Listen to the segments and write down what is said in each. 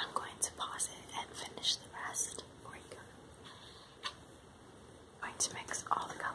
I'm going to pause it and finish the rest for you. going to mix all the colors.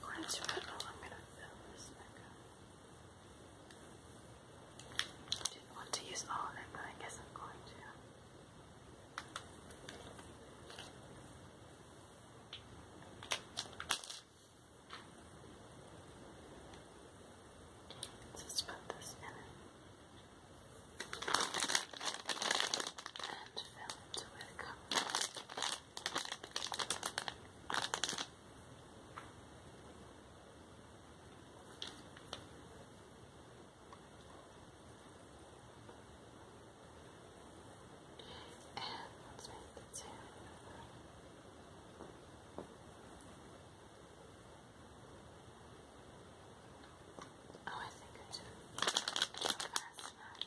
According to it, oh, I'm going to fill this back up. I didn't want to use all of it, but I guess I'm going to. Let's just put this in it and filmed with covers. Oh, I think I too fast now.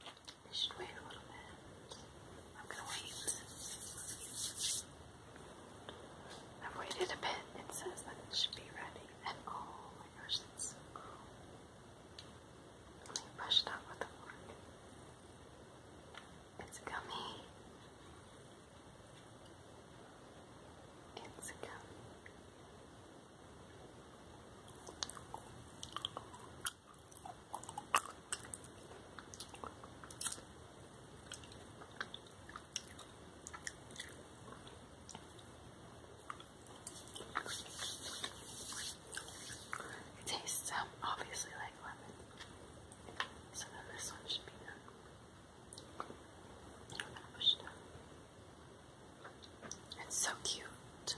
I should wait a little bit. I'm gonna wait. I've waited a bit. It says that it should be ready. And oh my gosh, that's so cool. out with the fork. It's gummy. It's gummy. It tastes obviously like lemon, so then this one should be done. push it it's so cute.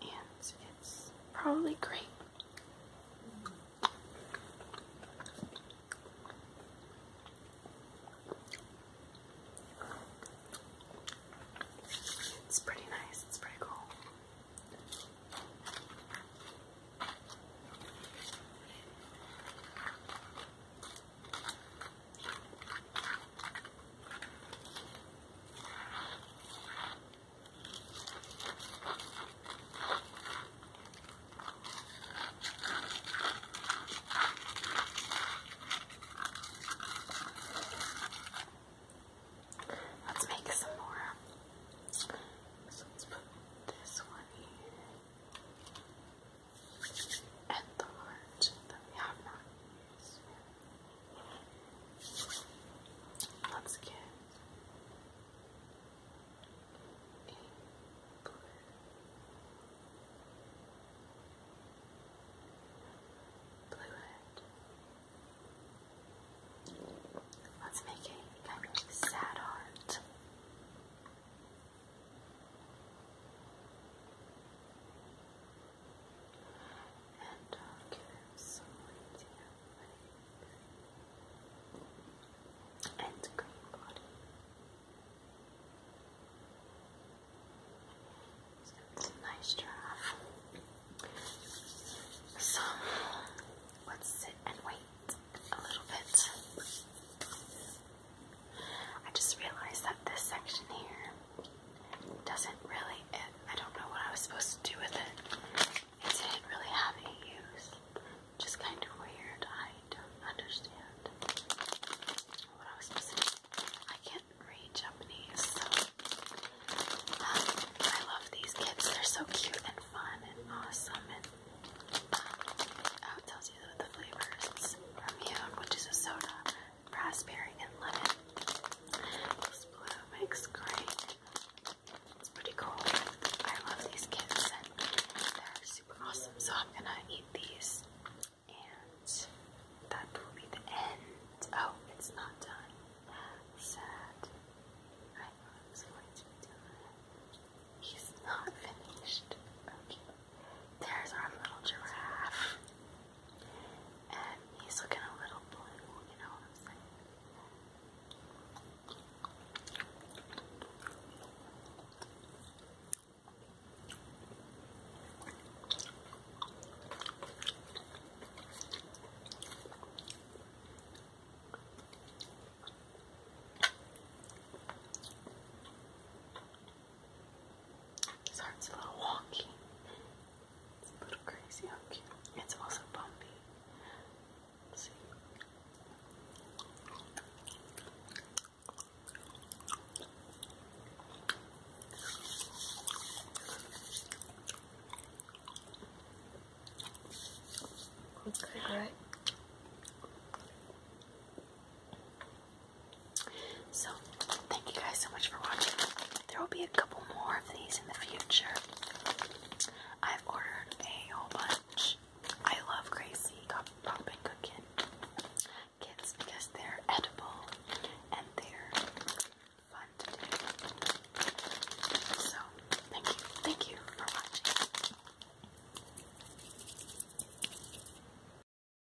And it's probably great. It's pretty nice, it's pretty cool. Let's make some more. So let's put this one here. And the heart that we have not used. Once again, in blue. Blue heart. Let's make it kind of sad heart and I'll uh, give him and green body. So it's a nice giraffe. So let's sit and wait a little bit. I just realized that this section here doesn't really, I don't know what I was supposed to do with it. It didn't really have any use. Just kind of weird. I don't understand what I was supposed to I can't read Japanese, um, I love these kits. They're so cute and fun and awesome. And um, oh, it tells you the flavors it's from you, which is a soda raspberry and lemon. This blue makes great. It's pretty cool. I love these kits and they're super awesome. So I'm gonna eat these and that will be the end. Oh, it's not done. Sad. I thought it was going to be done. He's not finished. Okay. There's our little giraffe. And he's looking a little blue, you know his heart's a little wonky. It's a little crazy how cute. It's also bumpy. let right? So, thank you guys so much for watching. There will be a couple more of these in the future. I've ordered a whole bunch. I love crazy Pop and Cookin' because they're edible and they're fun to do. So, thank you, thank you for watching.